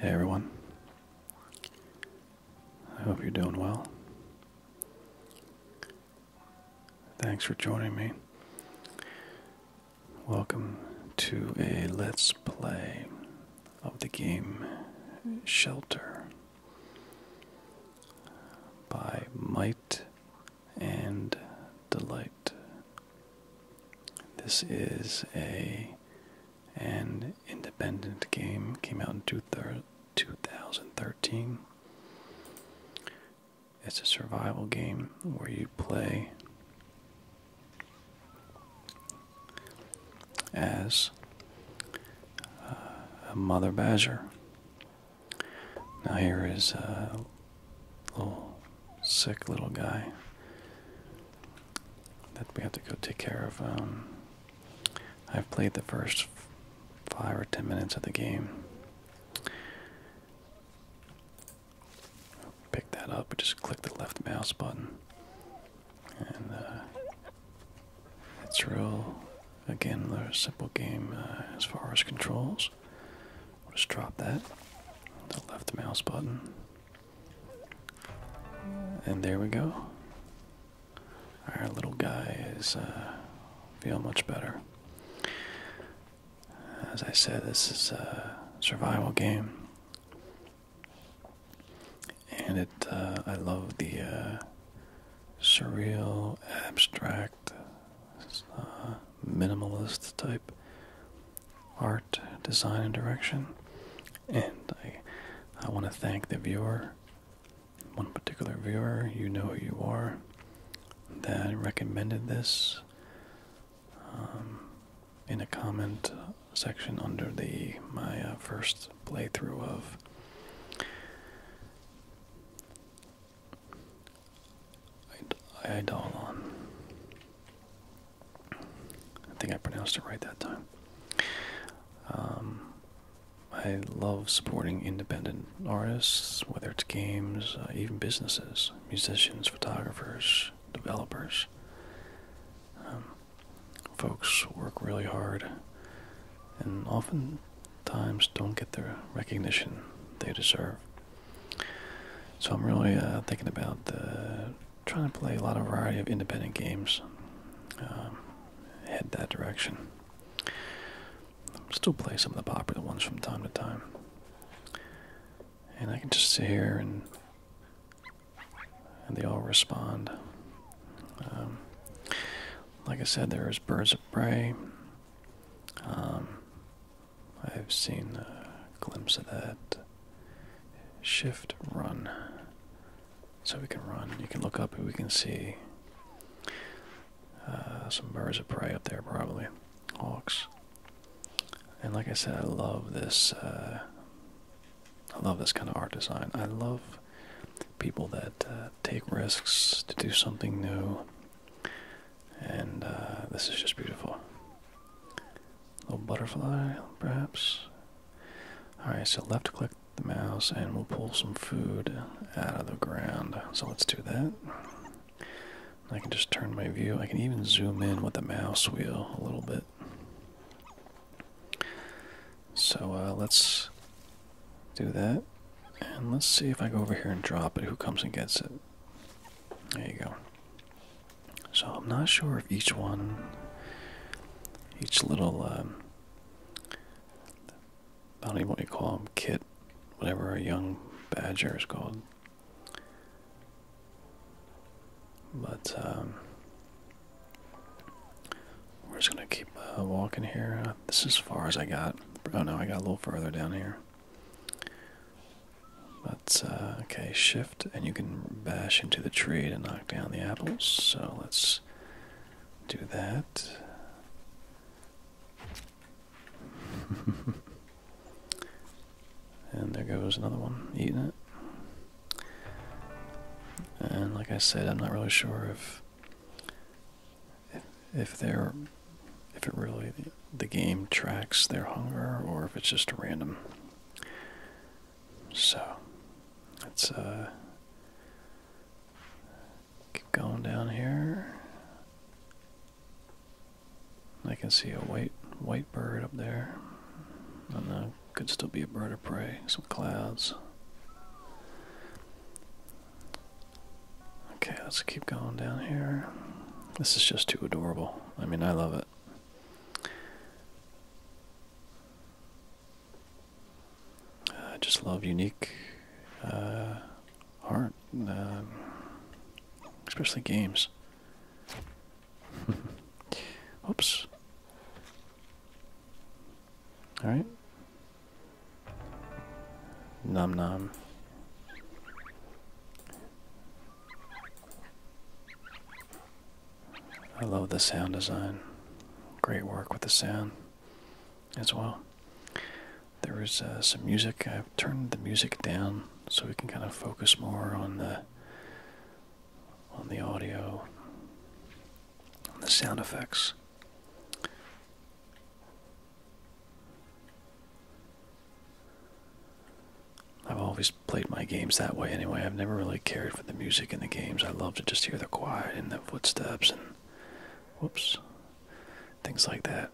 Hey everyone. I hope you're doing well. Thanks for joining me. Welcome to a Let's Play of the game Shelter by Might and Delight. This is a an independent game came out in 2013. It's a survival game where you play as uh, a mother badger. Now here is a uh, little sick little guy that we have to go take care of. Um, I've played the first five or ten minutes of the game. Pick that up, just click the left mouse button. And uh, it's real, again, another simple game uh, as far as controls. just drop that, the left mouse button. And there we go. Our little guy is uh, feel much better. As I said, this is a survival game, and it uh, I love the uh, surreal, abstract, uh, minimalist type art, design, and direction. And I, I want to thank the viewer, one particular viewer, you know who you are, that recommended this um, in a comment section under the my uh, first playthrough of. Eidolon. I think I pronounced it right that time. Um, I love supporting independent artists, whether it's games, uh, even businesses, musicians, photographers, developers. Um, folks work really hard and oftentimes don't get the recognition they deserve. So I'm really uh, thinking about the trying to play a lot of variety of independent games. Um, head that direction. Still play some of the popular ones from time to time. And I can just sit here and and they all respond. Um, like I said, there is Birds of Prey. Um, I've seen a glimpse of that shift run. So we can run. You can look up and we can see uh, some birds of prey up there, probably. Hawks. And like I said, I love this. Uh, I love this kind of art design. I love people that uh, take risks to do something new. And this is just beautiful little butterfly, perhaps. Alright, so left click the mouse and we'll pull some food out of the ground. So let's do that. I can just turn my view. I can even zoom in with the mouse wheel a little bit. So uh, let's do that. And let's see if I go over here and drop it, who comes and gets it. There you go. So I'm not sure if each one, each little, um, I don't even what you call them, kit, whatever a young badger is called. But um, we're just gonna keep uh, walking here. this is as far as I got. Oh no, I got a little further down here. But, uh, okay, shift, and you can bash into the tree to knock down the apples. So let's do that. and there goes another one, eating it. And like I said, I'm not really sure if if, if they're if it really the game tracks their hunger or if it's just random. So let's uh keep going down here. I can see a white white bird up there. And uh, could still be a bird of prey, some clouds. Okay, let's keep going down here. This is just too adorable. I mean, I love it. I just love unique uh, art, uh, especially games. Oops. All right. Nom nom. I love the sound design. Great work with the sound as well. There is uh, some music. I've turned the music down so we can kind of focus more on the on the audio, on the sound effects. I've always played my games that way anyway. I've never really cared for the music in the games. I love to just hear the quiet and the footsteps and whoops. Things like that.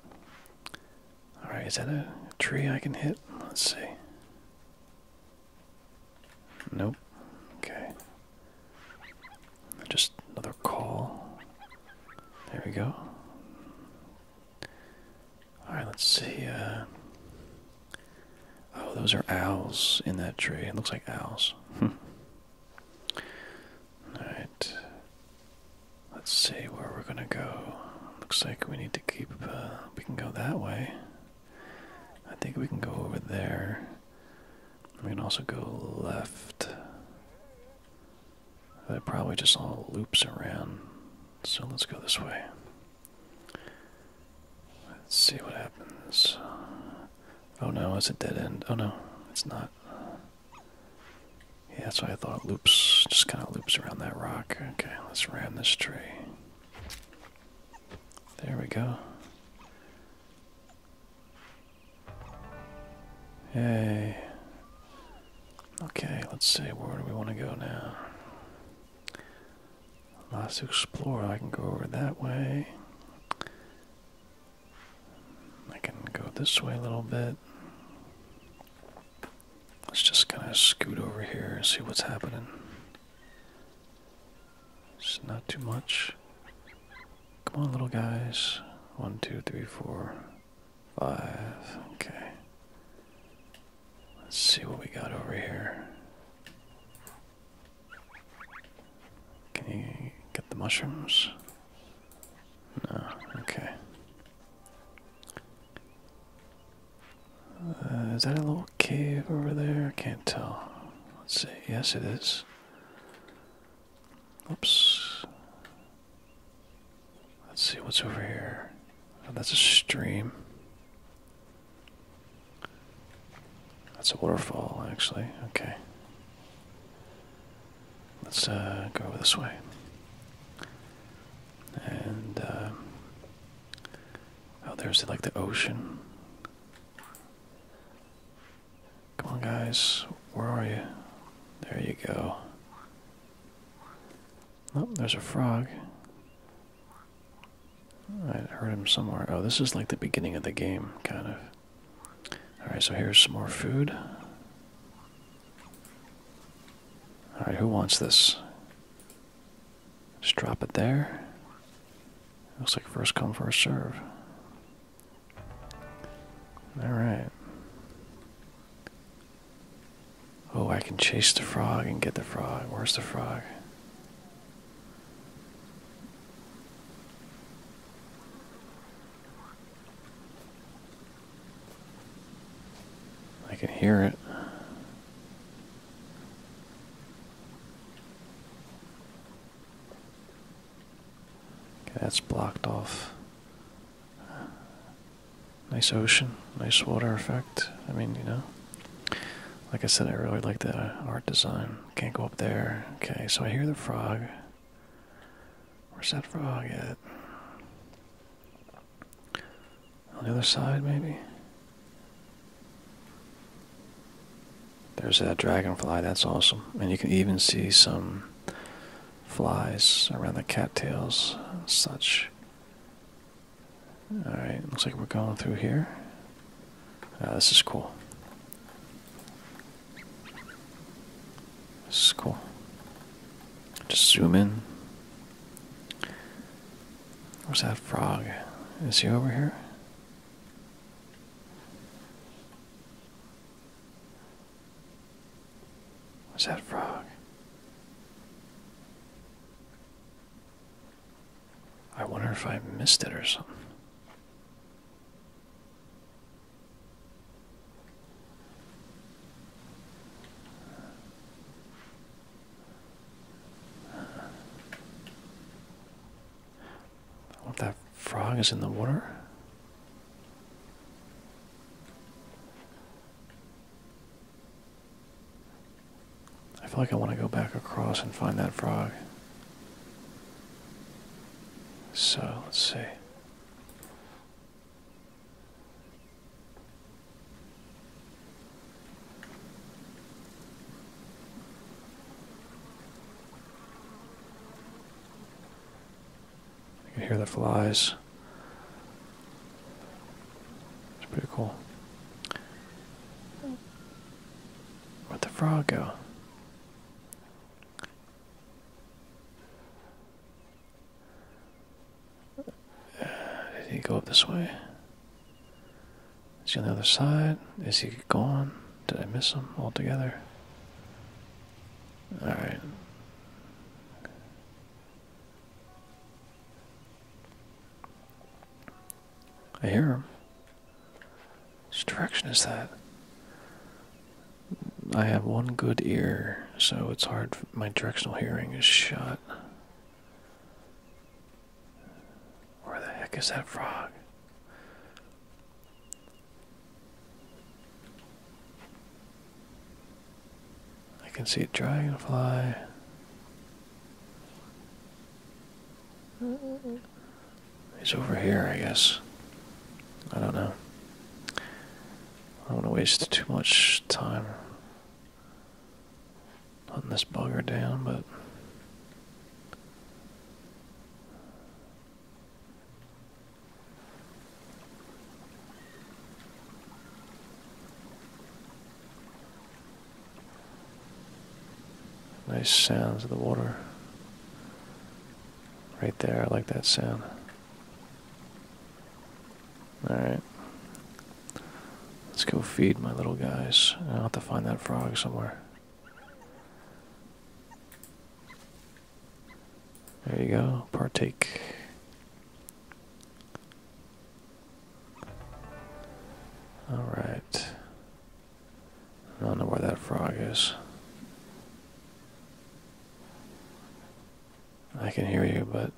Alright, is that a tree I can hit? Let's see. Nope. Okay. Just another call. There we go. All right, let's see. Uh, oh, those are owls in that tree. It looks like owls. Hmm. All right. Let's see where we're gonna go. Looks like we need to keep. Uh, we can go that way. I think we can go over there. We can also go left. That probably just all loops around. So let's go this way. Let's see what happens. Oh no, it's a dead end. Oh no, it's not. Yeah, that's why I thought. Loops, just kind of loops around that rock. Okay, let's ram this tree. There we go. Yay. Okay, let's see, where do we want to go now? Lots to explore. I can go over that way. I can go this way a little bit. Let's just kind of scoot over here and see what's happening. It's not too much. Come on, little guys. One, two, three, four, five. Okay. Let's see what we got over here. Can you get the mushrooms? No, okay. Uh, is that a little cave over there? I can't tell. Let's see. Yes, it is. Oops. Let's see what's over here. Oh, that's a stream. That's a waterfall, actually. Okay. Let's uh, go this way. And, uh, oh, there's like the ocean. Come on, guys. Where are you? There you go. Oh, there's a frog. I heard him somewhere. Oh, this is like the beginning of the game, kind of. Alright, so here's some more food. Alright, who wants this? Just drop it there. Looks like first come, first serve. Alright. Oh, I can chase the frog and get the frog. Where's the frog? I can hear it. Okay, that's blocked off. Nice ocean, nice water effect. I mean, you know. Like I said, I really like the art design. Can't go up there. Okay, so I hear the frog. Where's that frog at? On the other side, maybe? There's that dragonfly. That's awesome. And you can even see some flies around the cattails such. Alright, looks like we're going through here. Uh, this is cool. This is cool. Just zoom in. Where's that frog? Is he over here? Where's that frog? I wonder if I missed it or something. I that frog is in the water. I feel like I want to go back across and find that frog. So, let's see. I can hear the flies. It's pretty cool. Where'd the frog go? did he go up this way? Is he on the other side? Is he gone? Did I miss him altogether? Alright. I hear him. Which direction is that? I have one good ear, so it's hard. My directional hearing is shot. Where the heck is that frog? I can see a dragonfly. He's over here, I guess. I don't know. I don't want to waste too much time hunting this bugger down, but. Nice sounds of the water. Right there, I like that sound. Alright. Let's go feed my little guys. I'll have to find that frog somewhere. There you go, partake. All right. I don't know where that frog is. I can hear you, but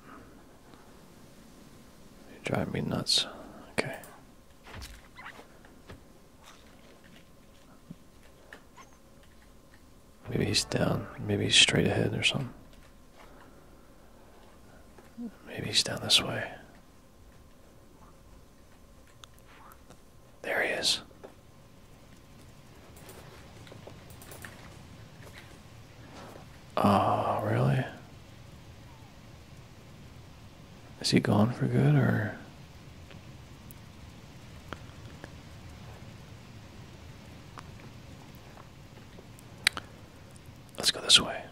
you drive me nuts. Okay. Maybe he's down. Maybe he's straight ahead or something. Maybe he's down this way. There he is. Ah, really? Is he gone for good or? Let's go this way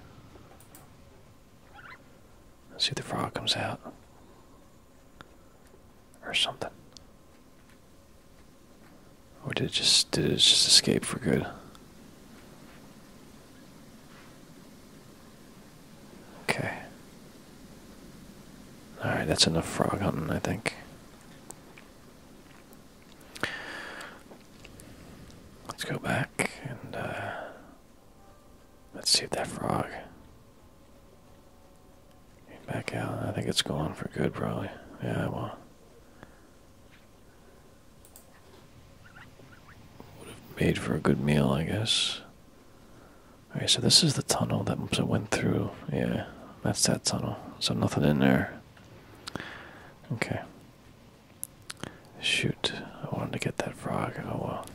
see if the frog comes out. Or something. Or did it just did it just escape for good? Okay. Alright, that's enough frog hunting, I think. Let's go back and uh, let's see if that frog came back out. I think it's gone for good, probably. Yeah, well. Would have made for a good meal, I guess. Okay. so this is the tunnel that went through. Yeah, that's that tunnel. So nothing in there. Okay. Shoot, I wanted to get that frog. Oh well.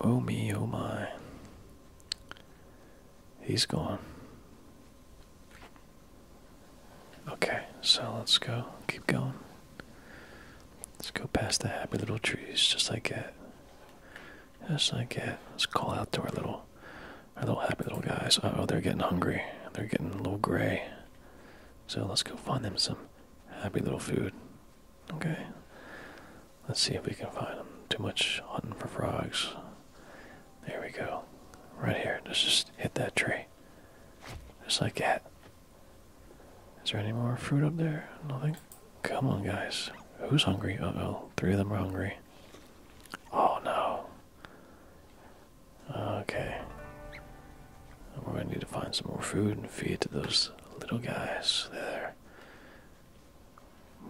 Oh me, oh my. He's gone. Okay, so let's go. Keep going. Let's go past the happy little trees, just like that. Just like that. Let's call out to our little our little happy little guys. oh, they're getting hungry. They're getting a little gray. So let's go find them some happy little food. Okay. Let's see if we can find them. Too much hunting for frogs. There we go. Right here. Let's just hit that tree. Just like that. Is there any more fruit up there? Nothing? Come on, guys. Who's hungry? Uh oh. Three of them are hungry. Oh no. Okay. We're gonna need to find some more food and feed to those little guys there.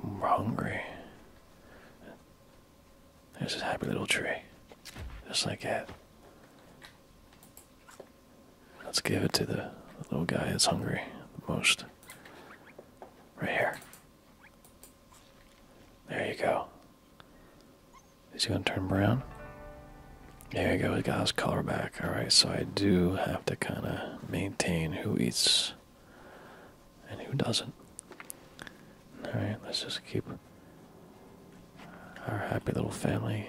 We're hungry. There's a happy little tree. Just like that. Let's give it to the little guy that's hungry the most. Right here. There you go. Is he going to turn brown? There you go. It got his color back. All right, so I do have to kind of maintain who eats and who doesn't. All right, let's just keep our happy little family.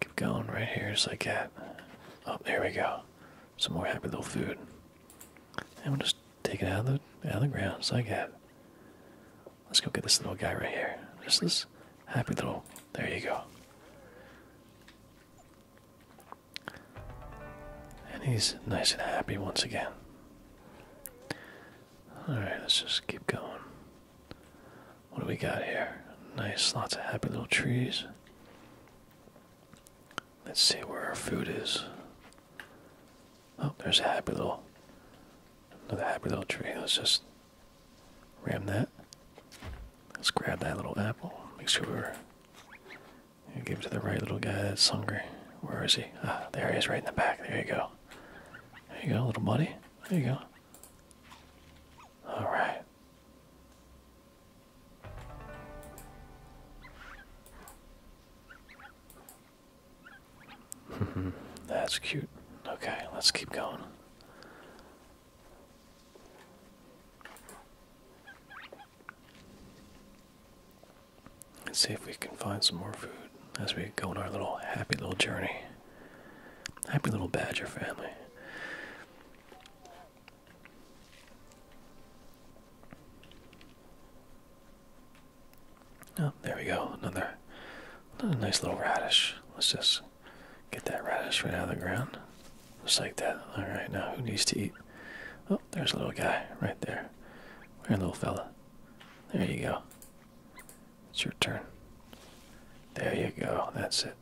Keep going right here. It's like that. Oh, there we go. Some more happy little food. And we'll just take it out of the out of the ground, So I got. Let's go get this little guy right here. Just this happy little. There you go. And he's nice and happy once again. Alright, let's just keep going. What do we got here? Nice, lots of happy little trees. Let's see where our food is. Oh, there's a happy little, another happy little tree. Let's just ram that. Let's grab that little apple. Make sure we're give it to the right little guy that's hungry. Where is he? Ah, there he is, right in the back. There you go. There you go, little buddy. There you go. All right. That's cute. Okay, let's keep going. Let's see if we can find some more food as we go on our little happy little journey. Happy little badger family. Oh, there we go. Another, another nice little radish. Let's just get that radish right out of the ground. Just like that. All right, now who needs to eat? Oh, there's a little guy right there. Where, little fella? There you go. It's your turn. There you go. That's it.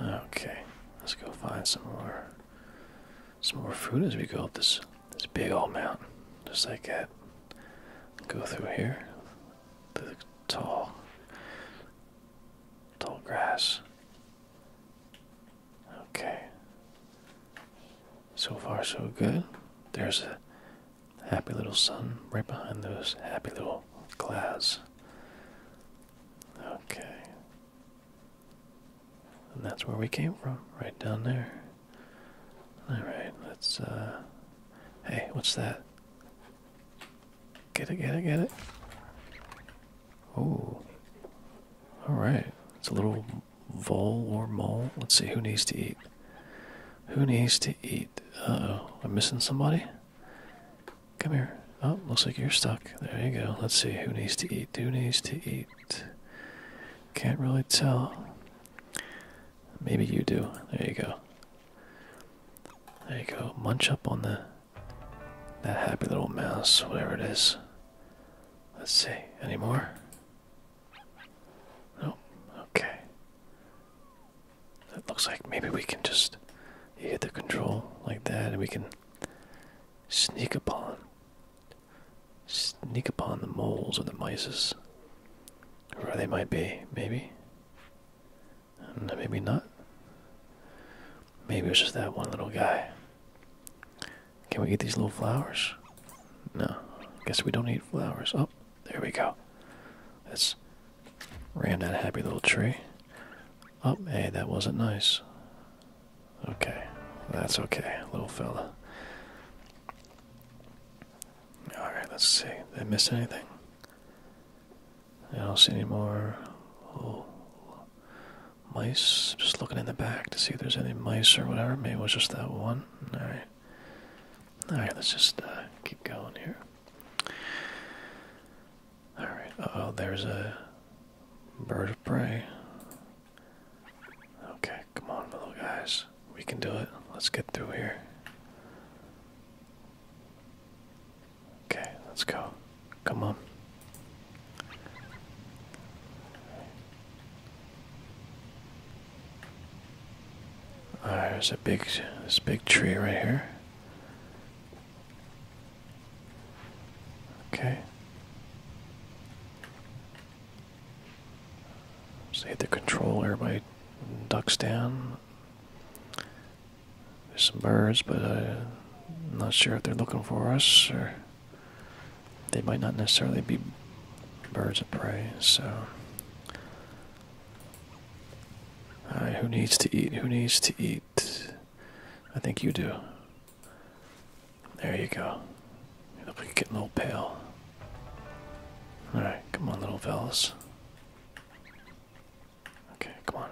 Okay, let's go find some more some more fruit as we go up this this big old mountain, just like that. Go through here, the tall, tall grass. Okay. So far, so good. There's a happy little sun right behind those happy little clouds. Okay. And that's where we came from, right down there. Alright, let's, uh, Hey, what's that? Get it, get it, get it. Oh. Alright. It's a little vole or mole. Let's see, who needs to eat? Who needs to eat? Uh oh. I'm missing somebody? Come here. Oh, looks like you're stuck. There you go. Let's see who needs to eat. Who needs to eat? Can't really tell. Maybe you do. There you go. There you go. Munch up on the that happy little mouse, whatever it is. Let's see. Any more? Nope. Okay. It looks like maybe we can just hit the control like that, and we can Sneak upon. Sneak upon the moles or the mices. Where they might be, maybe. No, mm, maybe not. Maybe it's just that one little guy. Can we eat these little flowers? No. Guess we don't eat flowers. Oh, there we go. Let's ram that happy little tree. Oh, hey, that wasn't nice. Okay, that's okay, little fella. Alright, let's see. Did I miss anything? I don't see any more. mice. Just looking in the back to see if there's any mice or whatever. Maybe it was just that one. Alright. Alright, let's just uh, keep going here. Alright, oh, there's a Bird of prey. Okay, come on, little guys. We can do it. Let's get through here. Okay, let's go. Come on. there's a big, this big tree right here. Okay. See hit the control, by ducks down. There's some birds, but I'm not sure if they're looking for us, or they might not necessarily be birds of prey, so. who needs to eat? Who needs to eat? I think you do. There you go. You're looking getting a little pale. Alright, come on little vels. Okay, come on.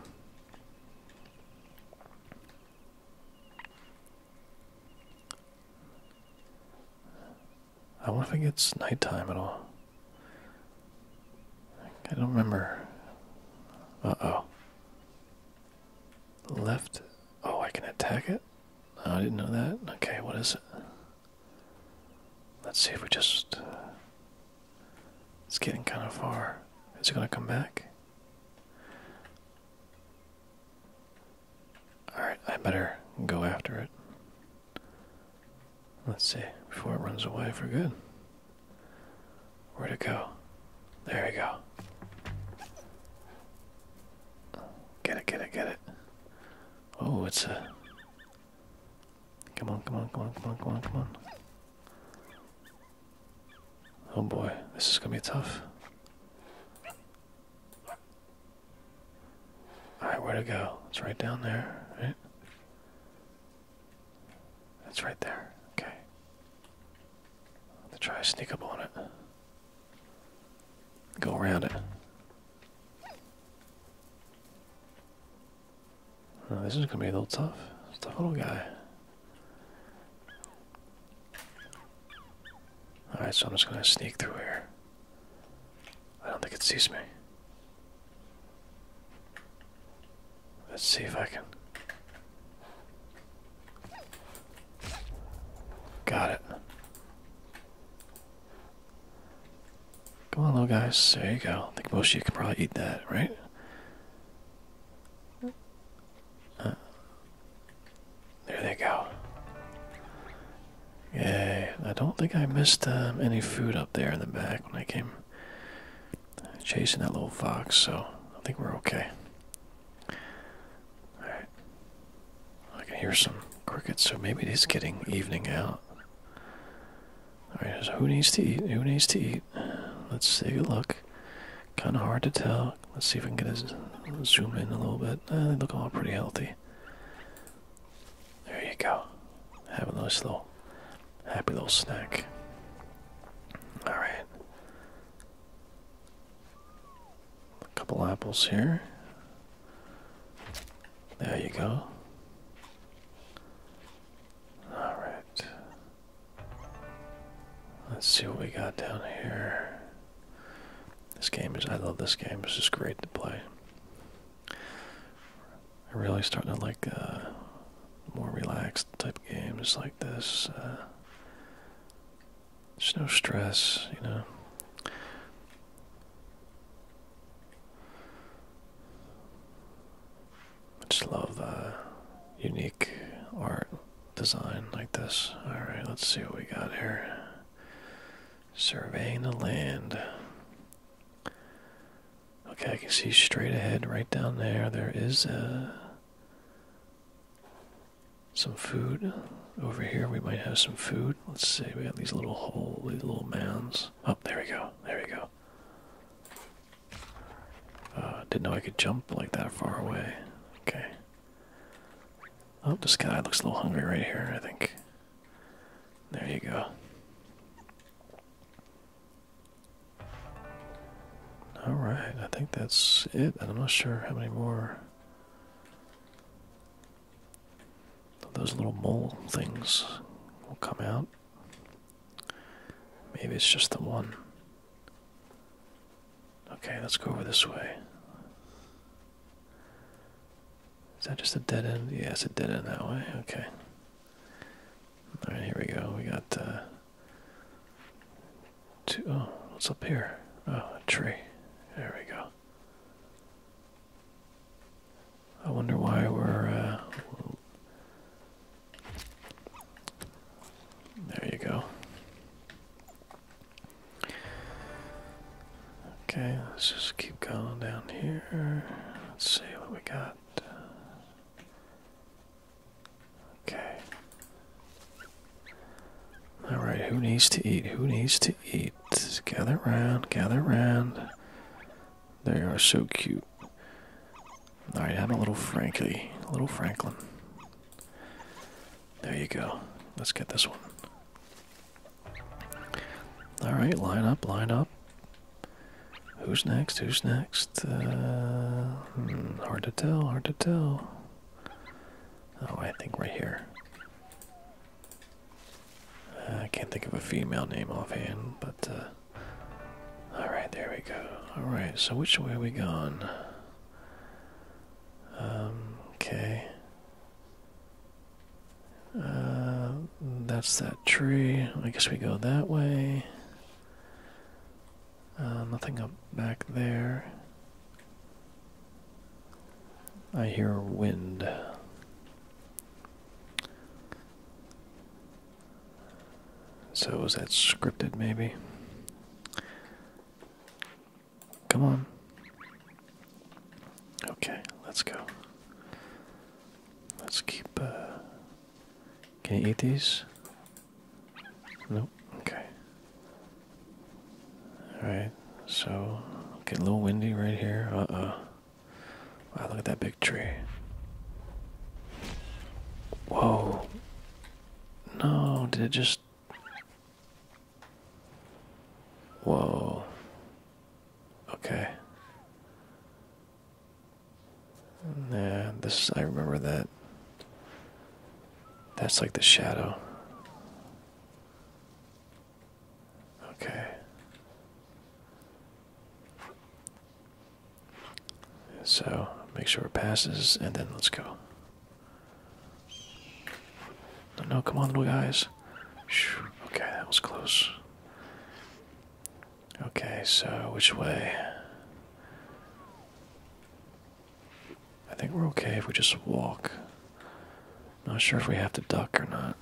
I wonder if it gets nighttime at all. I don't remember. Uh oh. Left. Oh, I can attack it? I didn't know that. Okay, what is it? Let's see if we just. it's getting kind of far. Is it going to come back? Alright, I better go after it. Let's see, before it runs away for good where to go? There we go. Get it, get it, get it. Oh, it's a. Come on, come on, come on, come on, come on, come on. Oh boy, this is gonna be tough. Alright, where to go? It's right down there, right? It's right there. Okay to try to sneak up on it. Go around it. this is gonna be a little tough. tough little guy. Alright, so I'm just gonna sneak through here. I don't think it sees me. Let's see if I can. Got it. Come on, little guys. There you go. I think most of you can probably eat that, right? Uh, there they go. Yay. I don't think I missed um, any food up there in the back when I came chasing that little fox, so I think we're okay. Alright. I can hear some crickets, so maybe it is getting evening out. Alright, who needs to eat? Who needs to eat? Let's take a look. Kind of hard to tell. Let's see if we can get a zoom in a little bit. Eh, they look all pretty healthy. There you go. Have a nice little happy little snack. Alright. A couple apples here. There you go. Alright. Let's see what we got down here. This game is, I love this game. It's just great to play. I'm really starting to like uh, more relaxed type of games like this. Uh, there's no stress, you know. I just love uh, unique art design like this. Alright, let's see what we got here. Surveying the land. Okay, I can see straight ahead right down there. There is a some food. Over here we might have some food. Let's see, we got these little hole, little mounds. Oh, there we go, there we go. Uh, didn't know I could jump like that far away. Okay. Oh, this guy looks a little hungry right here, I think. There you go. All right, I think that's it. I'm not sure how many more those little mole things will come out. Maybe it's just the one. Okay, let's go over this way. Is that just a dead end? Yes, it's a dead end that way. Okay. Alright, here we go. We got uh, Two, oh, what's up here? Oh, a tree. There we go. I wonder why we're. Uh, there you go. Okay, let's just keep going down here. Let's see what we got. Okay. Alright, who needs to eat? Who needs to eat? gather round, gather round. They are so cute. Alright, have a little Frankie, a little Franklin. There you go. Let's get this one. Alright, line up, line up. Who's next? Who's next? Uh, Hmm, hard to tell, hard to tell. Oh, I think right here. Uh, I can't think of a female name offhand, but uh, alright, there we go. Alright, so which way are we going? Um, okay. Uh, that's that tree. I guess we go that way. Uh, nothing up back there. I hear wind. So was that scripted maybe? Come on. Okay, let's go. Let's keep uh can you eat these? Nope. Okay. Alright, so get a little windy right here. Uh uh. Wow, look at that big tree. Whoa. No, did it just. Whoa. Okay. Yeah, this I remember that. That's like the shadow. Okay. So make sure it passes, and then let's go. No, no, come on, little guys. Okay, that was close. Okay, so which way? I think we're okay if we just walk. Not sure if we have to duck or not.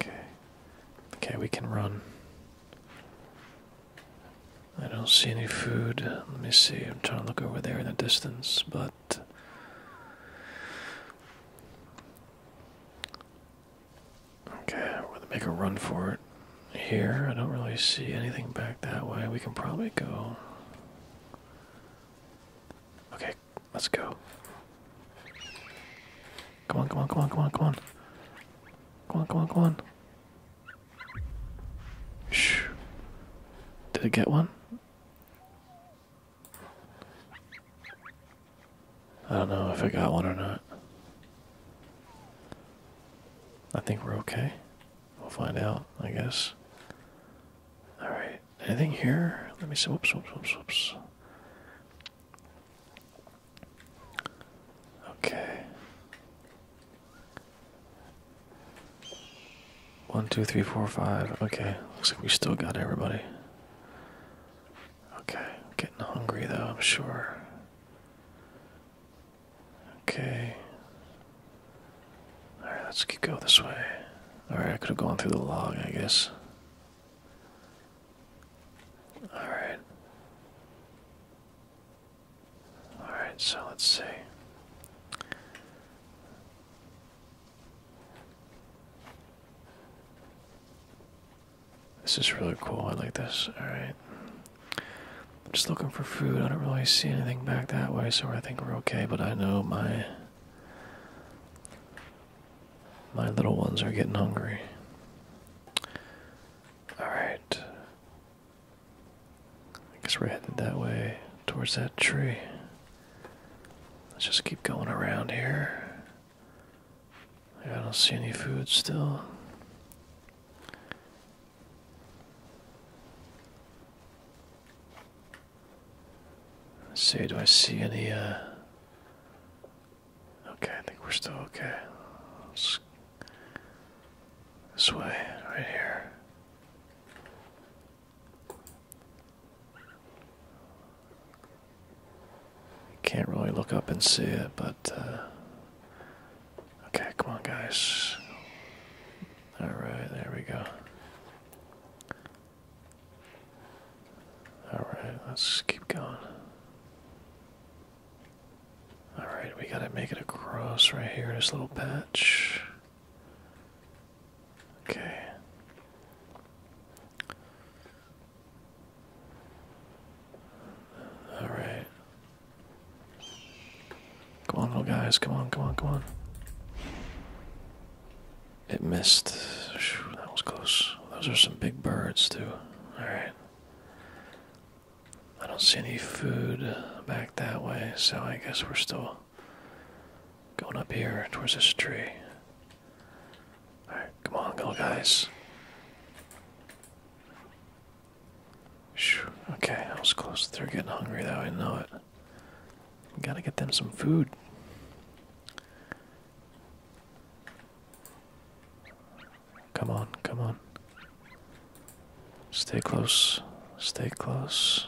Okay. Okay, we can run. I don't see any food. Let me see. I'm trying to look over there in the distance, but okay, we're gonna make a run for it. Here, I don't really see anything back that way. We can probably go. Okay, let's go. Come on, come on, come on, come on, come on. Come on, come on, come on. Shh. Did it get one? I don't know if I got one or not. I think we're okay. We'll find out, I guess. Alright, anything here? Let me see. Whoops, whoops, whoops, whoops. Okay. One, two, three, four, five. Okay, looks like we still got everybody. Okay, getting hungry though, I'm sure. Okay. Alright, let's go this way. Alright, I could have gone through the log, I guess. Alright. Alright, so let's see. This is really cool. I like this. Alright. I'm just looking for food. I don't really see anything back that way, so I think we're okay, but I know my. My little ones are getting hungry. Alright. I guess we're headed that way towards that tree. Let's just keep going around here. I don't see any food still. Say, do I see any, uh... Okay, I think we're still okay. This way, right here. Can't really look up and see it, but uh, okay, come on, guys. All right, there we go. All right, let's keep going. All right, we gotta make it across right here, this little patch. Okay. All right. Come on, little guys. Come on, come on, come on. It missed. that was close. Those are some big birds, too. All right. I don't see any food back that way, so I guess we're still Going up here towards this tree. Alright, come on, go, guys. okay, I was close. They're getting hungry, though, I know it. Gotta get them some food. Come on, come on. Stay close, stay close.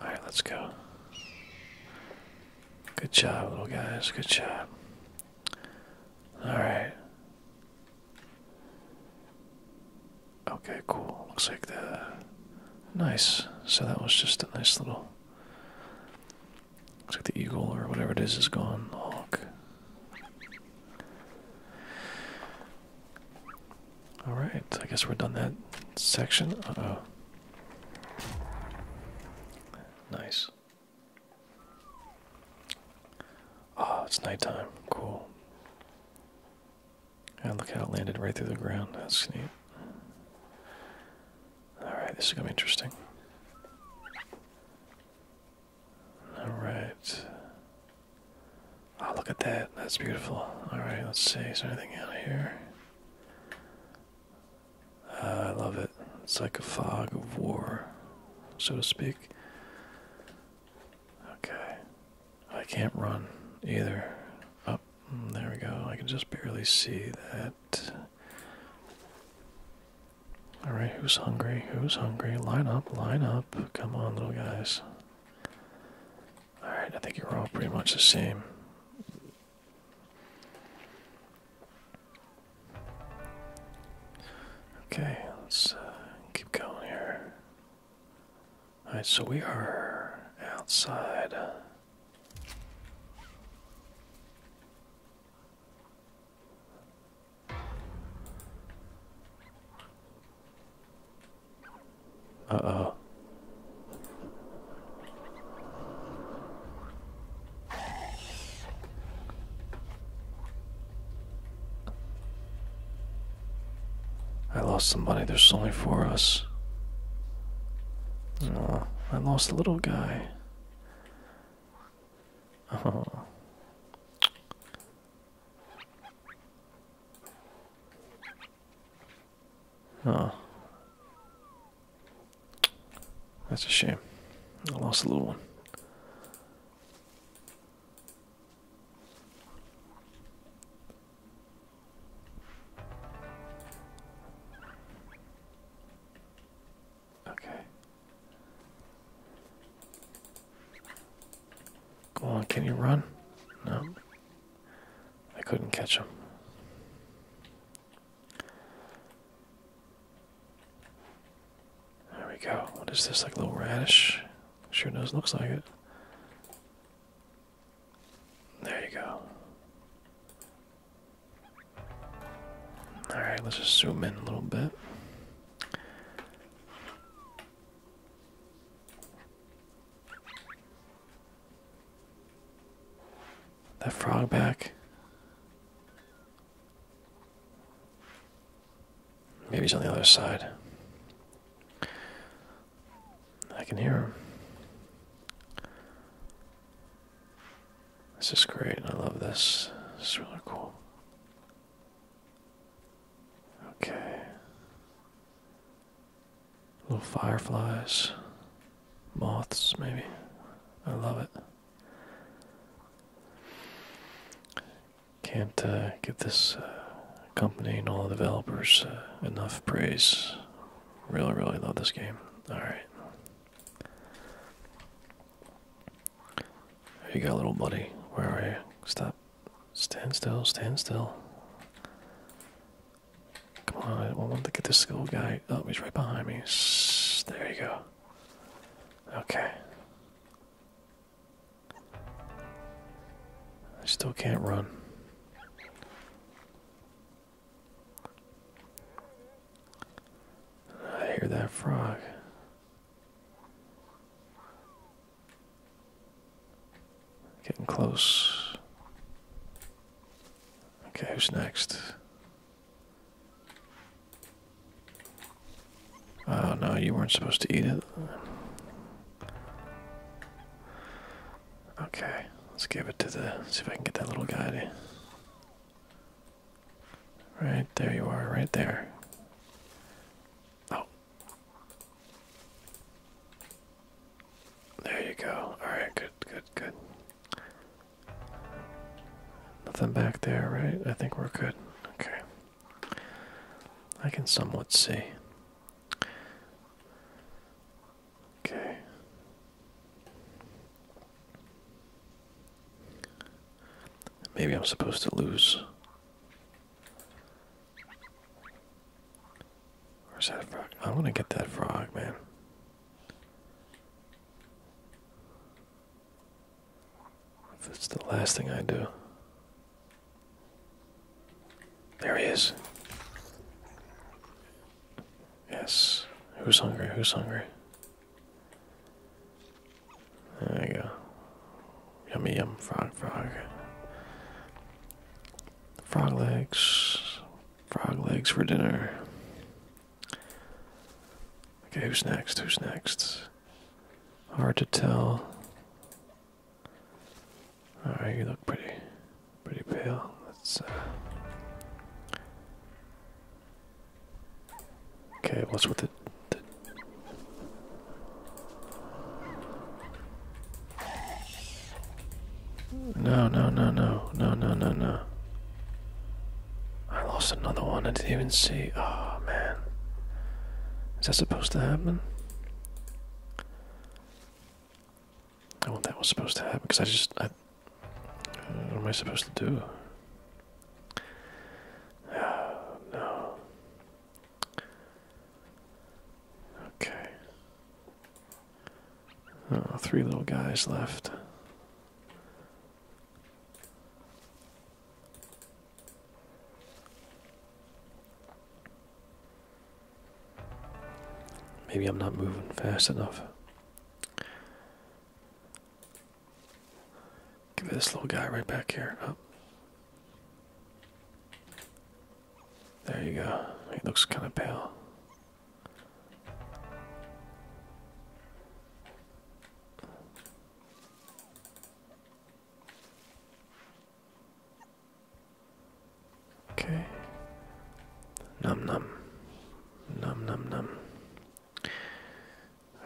Alright, let's go. Good job, little guys. Good job. Alright. Okay, cool. Looks like the. Nice. So that was just a nice little. Looks like the eagle or whatever it is is gone. The all right, I guess we're done that section. Uh oh. Nice. Oh, it's nighttime. Cool. And look how it landed right through the ground. That's neat. All right, this is gonna be interesting. All right. Oh, look at that. That's beautiful. All right, let's see. Is there anything out here? Uh, I love it. It's like a fog of war, so to speak. Okay. I can't run either. Up. Oh, mm, there we go. I can just barely see that. All right, who's hungry? Who's hungry? Line up, line up. Come on, little guys. All right, I think you're all pretty much the same. Okay, let's uh, keep going here. All right, so we are outside. Uh-oh. I lost somebody. There's only four of us. Oh, I lost a little guy. Oh. Oh. That's a shame. I lost a little one. Okay. Go on, can you run? No. I couldn't catch him. There we go. What is this? Like a little radish? Sure knows looks like it. There you go. Alright, let's just zoom in a little bit. That frog back. Maybe he's on the other side. I can hear him. This is great. I love this. It's really cool. Okay. Little fireflies, moths, maybe. I love it. Can't uh, give this uh, company and all the developers uh, enough praise. Really, really love this game. Alright. There you go, little buddy. Where are you? Stop. Stand still, stand still. Come on, I want to get this little guy. Oh, he's right behind me. there you go. Okay. I still can't run. I hear that frog. Getting close. Okay, who's next? Oh no, you weren't supposed to eat it. Okay, let's give it to the. See if I can get that little guy Right there you are, right there. Oh. There you go. Alright, good, good, good. Nothing back there, right? I think we're good. Okay. I can somewhat see. Okay. Maybe I'm supposed to lose. Where's that frog? I want to get that frog, man. If it's the last thing I do. There he is. Yes. Who's hungry? Who's hungry? There you go. Yummy yum frog frog. Frog legs. Frog legs for dinner. Okay, who's next? Who's next? Hard to tell. Alright, you look pretty pretty pale. Let's uh Okay, what's with the, the No no no no no no no no I lost another one I didn't even see oh man Is that supposed to happen? I Oh that was supposed to happen because I just I what am I supposed to do? Oh no. Okay. Oh, three little guys left. Maybe I'm not moving fast enough. Give me this little guy right back here. Up. Oh. There you go. He looks kind of pale. Okay. Num num. Num num num.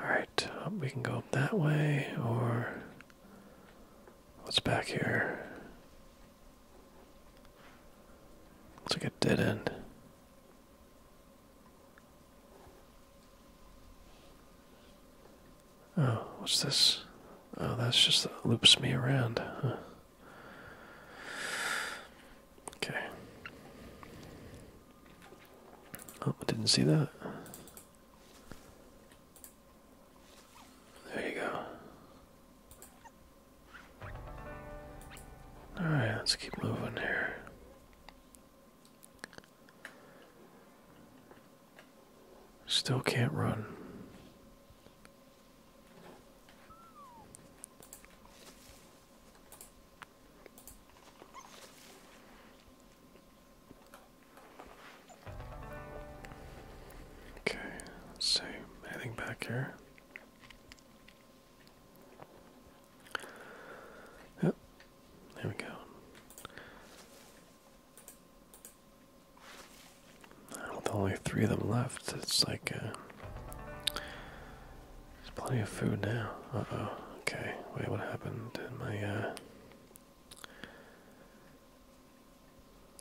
Alright, um, we can go up that way, or what's back here? Looks like a dead end. Oh, what's this? Oh, that's just that loops me around. Okay. Oh, I didn't see that. There you go. Alright, let's keep moving here. Still can't run. Okay, let see. Anything back here? Yep, there we go. With only three of them left, it's like uh, there's plenty of food now. Uh oh. Okay, wait, what happened? in my uh,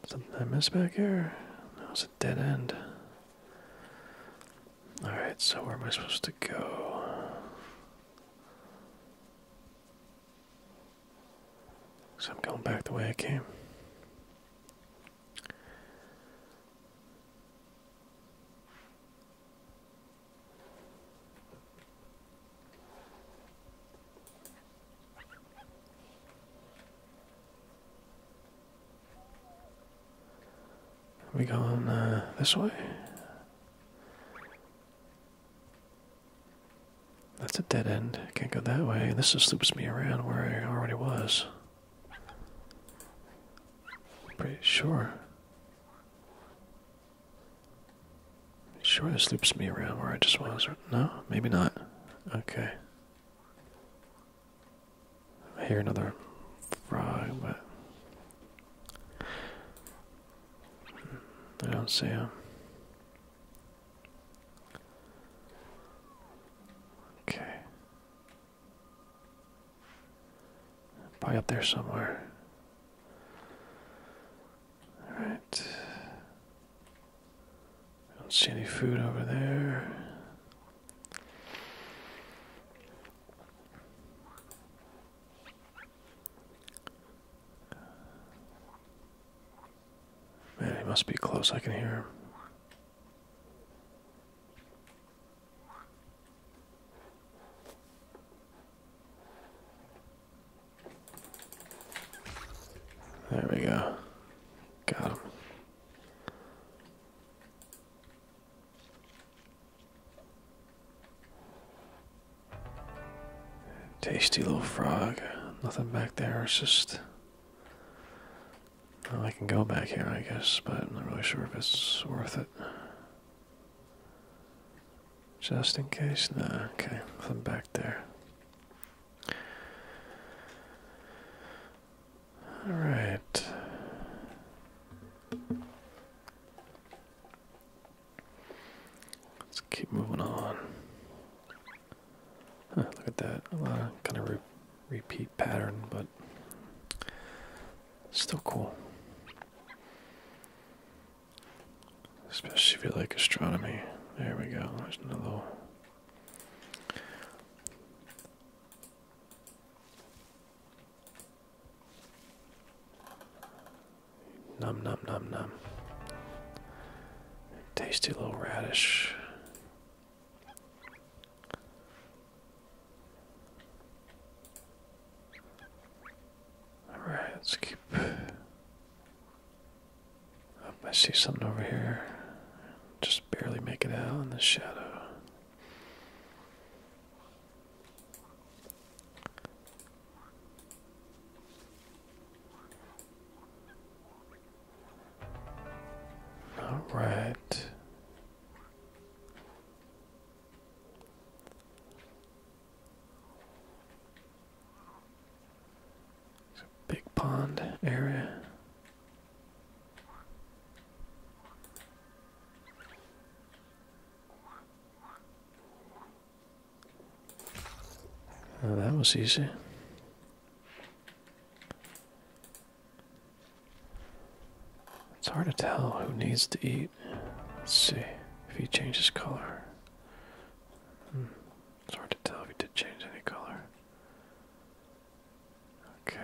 Something I missed back here? That was a dead end. Alright, so where am I supposed to go? So I'm going back the way I came. Are we going uh, this way? That's a dead end. Can't go that way. This just loops me around where I already was. Pretty sure. Sure, this loops me around where I just was. No, maybe not. Okay. I hear another frog, but I don't see him. Okay. Probably up there somewhere. All right. I don't see any food over there. Man, he must be close. I can hear him. There we go. Got him. Tasty little frog. Nothing back there. It's just. Well, I can go back here, I guess, but I'm not really sure if it's worth it. Just in case? No, okay. I'm back there. Alright. Let's keep moving on. look at that. A lot of kind of repeat pattern, but still cool. Especially if you like astronomy. There we go. There's another Num num num num. Tasty little radish. Alright, let's keep um, I see something over here. Just barely make it out in the shadow. Alright. It's a big pond area. Oh, that was easy. It's hard to tell who needs to eat. Let's see if he changes color. Hmm, it's hard to tell if he did change any color. Okay.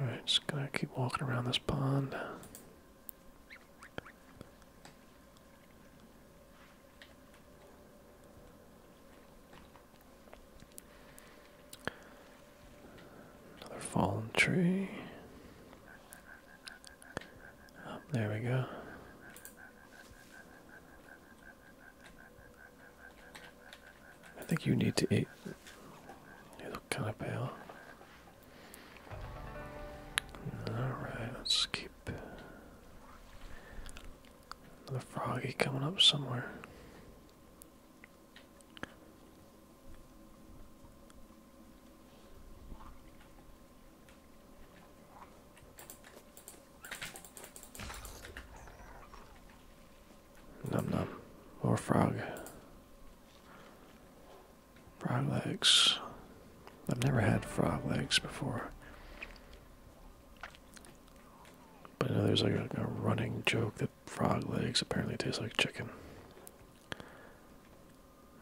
Alright, just gonna keep walking around this pond. Another fallen tree. Oh, there we go. I think you need to eat. You look kind of pale. Alright, let's keep. Another froggy coming up somewhere. Num num. More frog. Frog legs. I've never had frog legs before. But I know there's like a, running joke that frog legs apparently taste like chicken.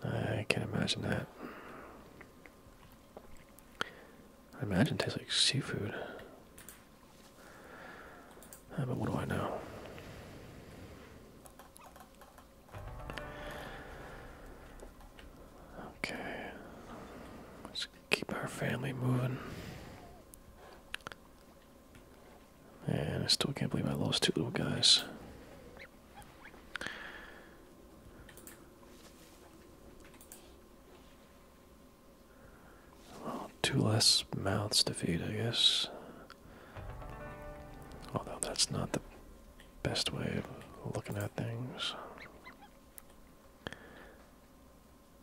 I can't imagine that. I imagine it tastes like seafood. Uh, but what do I know? Okay. Let's keep our family moving. And I still can't believe I lost two little guys. Well, two less mouths to feed, I guess. Although that's not the best way of looking at things.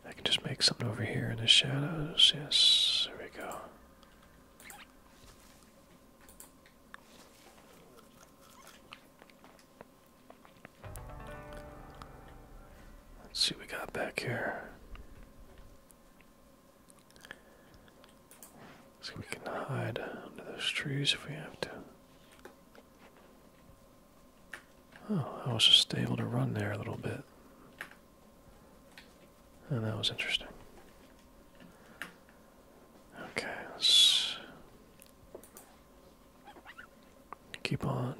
I can just make something over here in the shadows. Yes, there we go. Let's see what we got back here. So we can hide under those trees if we have to. Oh, I was just able to run there a little bit. And oh, that was interesting. Okay, let's keep on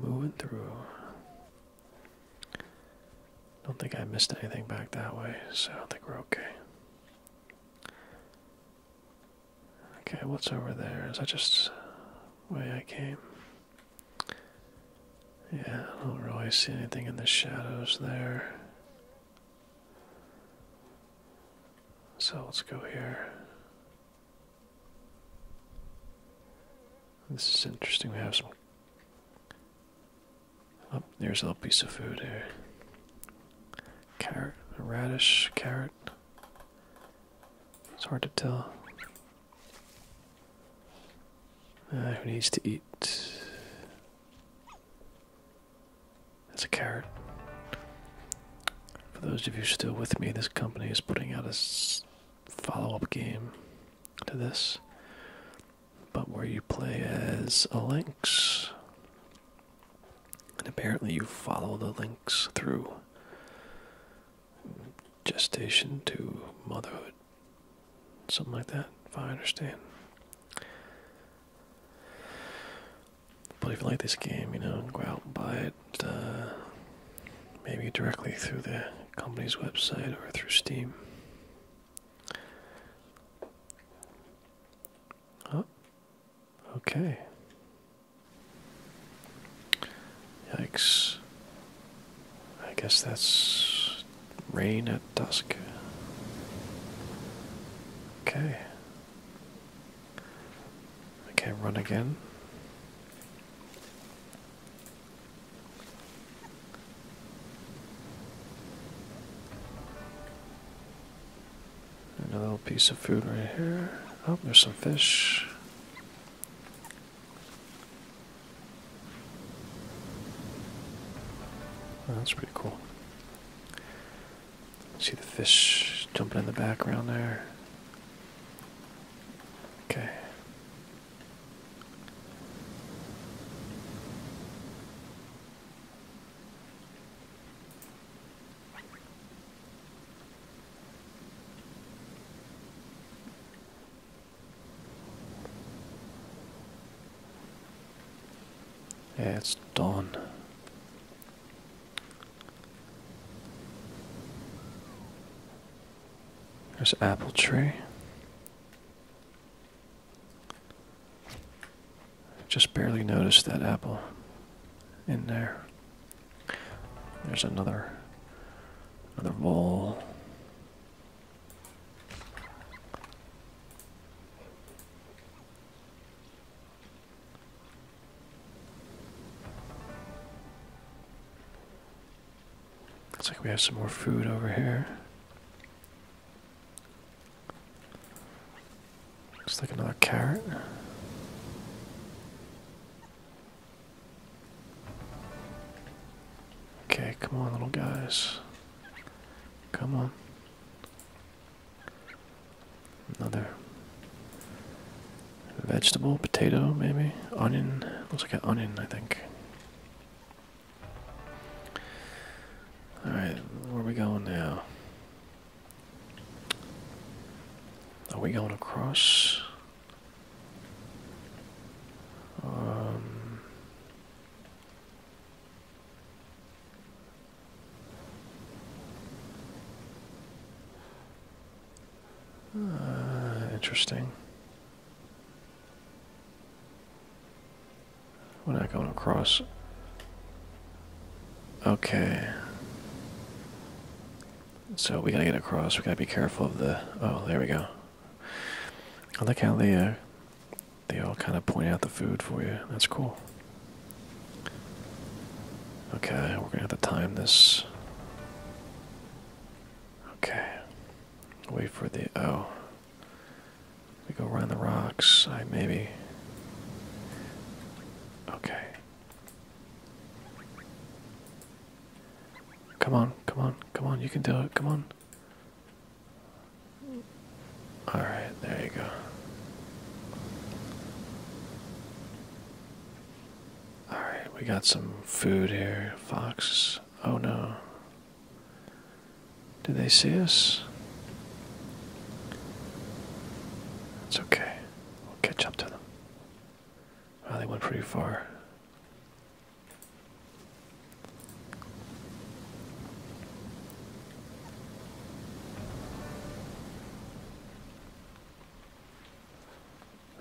moving through. Don't think I missed anything back that way, so I think we're okay. Okay, what's over there? Is that just way I came? Yeah, I don't really see anything in the shadows there. So let's go here. This is interesting. We have some. Oh, there's a little piece of food here. Carrot, radish, carrot. It's hard to tell who needs to eat? That's a carrot. For those of you still with me, this company is putting out a follow up game to this, but where you play as a lynx. And apparently, you follow the lynx through gestation to motherhood, something like that, if I understand. But if you like this game, you know, go out and buy it, uh, maybe directly through the company's website or through Steam. Oh, okay. Yikes. I guess that's rain at dusk. Okay. Okay. run again. Another little piece of food right here. Oh, there's some fish. Oh, that's pretty cool. See the fish jumping in the background there. Okay. Yeah, it's dawn. There's apple tree. Just barely noticed that apple in there. There's another another bowl. Looks like we have some more food over here. Looks like another carrot. Okay, come on, little guys. Come on. Another vegetable, potato, maybe? Onion. Looks like an onion, I think. Alright, where are we going now? Are we going across? Um, uh, interesting. We're not going across. Okay. So we gotta get across. We gotta be careful of the. Oh, there we go. I like how they uh, they all kind of point out the food for you. That's cool. Okay, we're gonna have to time this. Okay. Wait for the oh. We go around the rocks. I maybe. Okay. Come on, come on, come on, you can do it, come on. Alright, there you go. Alright, we got some food here. Fox. Oh no. Did they see us? It's okay. We'll catch up to them. Wow, they went pretty far.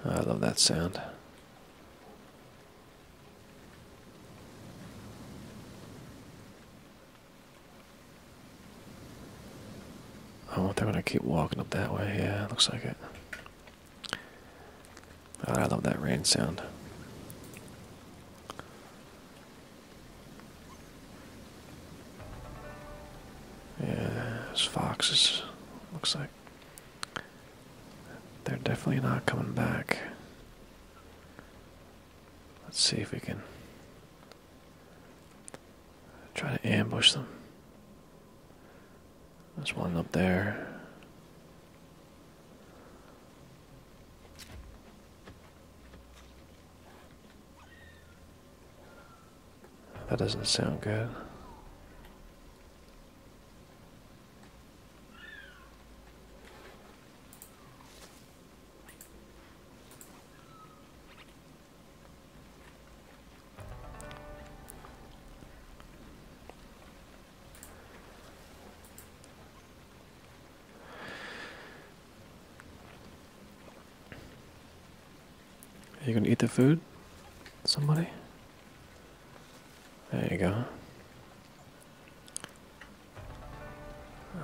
I love that sound. I wonder when I keep walking up that way. Yeah, looks like it. I love that rain sound. Yeah, those foxes, looks like. They're definitely not coming back. Let's see if we can try to ambush them. There's one up there. That doesn't sound good. Are you gonna eat the food? Somebody? There you go.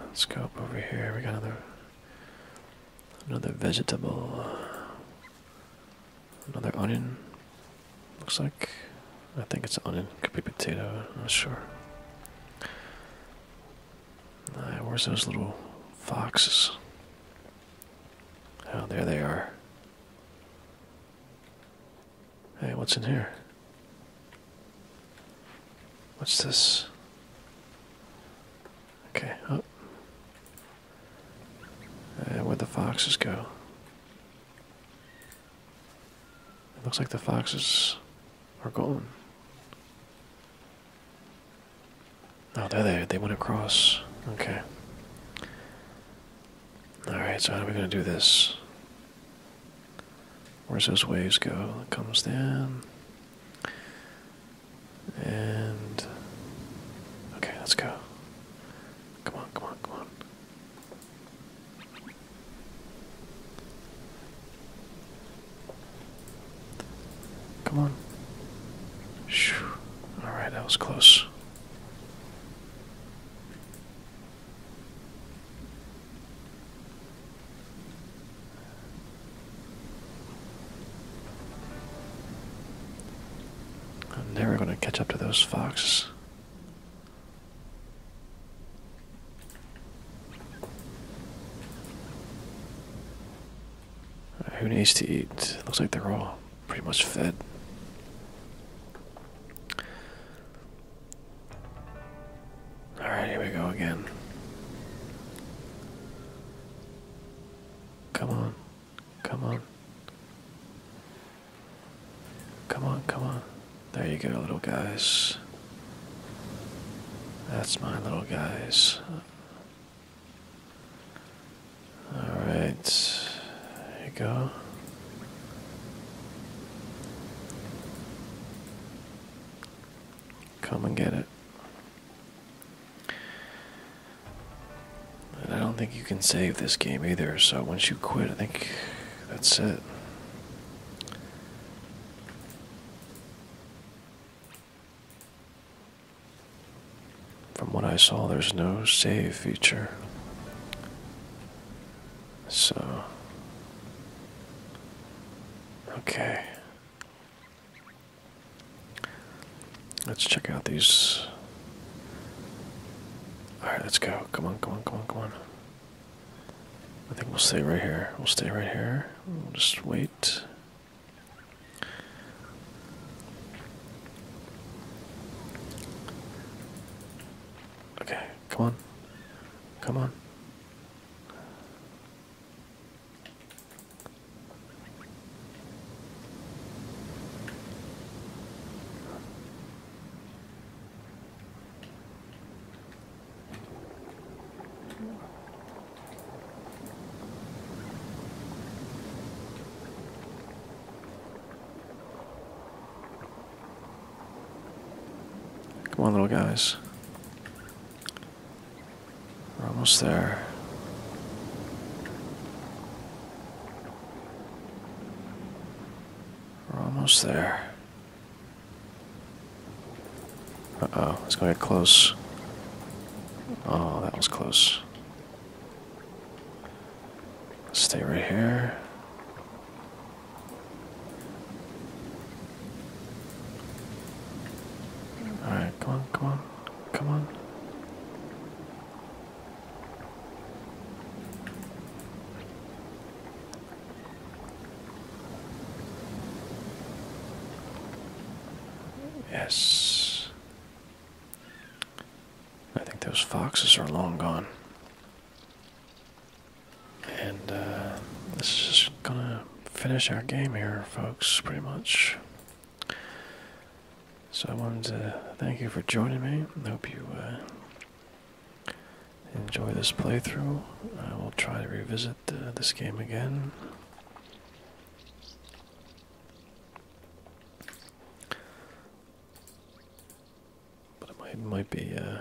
Let's go up over here. We got another another vegetable. Another onion. Looks like. I think it's an onion. Could be potato. I'm not sure. Right, where's those little foxes? Oh, there they are. Hey, what's in here? What's this? Okay, Oh. Uh, where'd the foxes go? It looks like the foxes are gone. Oh, there they they went across. Okay. Alright, so how are we gonna do this? Where's those waves go? It comes down. And okay, let's go. Come on, come on, come on. Come on. Alright, that was close. I'm never going to catch up to those foxes who needs to eat? looks like they're all pretty much fed. Alright, here we go again. Come on. Come on. Come on, come on. There you go, little guys. That's my little guys. Alright. There you go. Come and get it. I don't think you can save this game either, so once you quit, I think that's it. From what I saw, there's no save feature. So. Okay. Let's check out these. Alright, let's go. Come on, come on, come on, come on. I think we'll stay right here. We'll stay right here. We'll just wait. Okay, come on. Come on. Come on, little guys. We're almost there. We're almost there. Uh-oh, it's going to get close. Oh, that was close. Stay right here. Alright, come on, come on, come on. Yes. I think those foxes are long gone. And uh, this is just gonna finish our game here, folks, pretty much. So I wanted to thank you for joining me. I hope you uh, enjoy this playthrough. I will try to revisit uh, this game again. But it might, might be uh,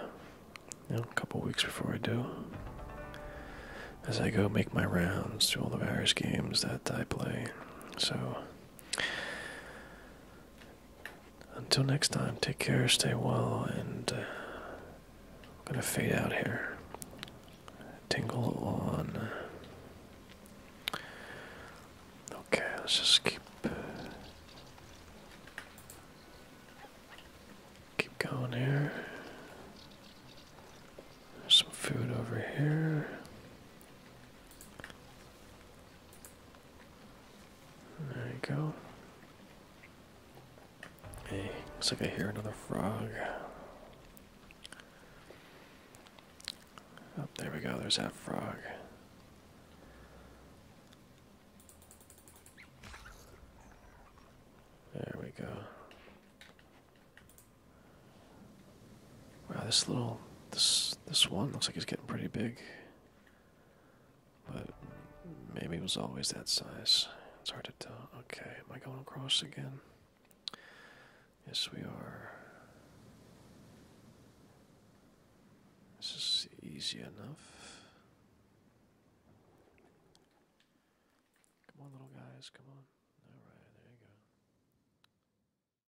a couple weeks before I do. As I go make my rounds to all the various games that I play. So. Until next time, take care, stay well, and uh, I'm gonna fade out here. Tingle on. Okay, let's just keep keep going here. There's some food over here. There you go. Hey, looks like I hear another frog. Up oh, there we go, there's that frog. There we go. Wow, this little this this one looks like it's getting pretty big. But maybe it was always that size. It's hard to tell. Okay, am I going across again? Yes, we are. This is easy enough. Come on, little guys, come on. All right, there you go.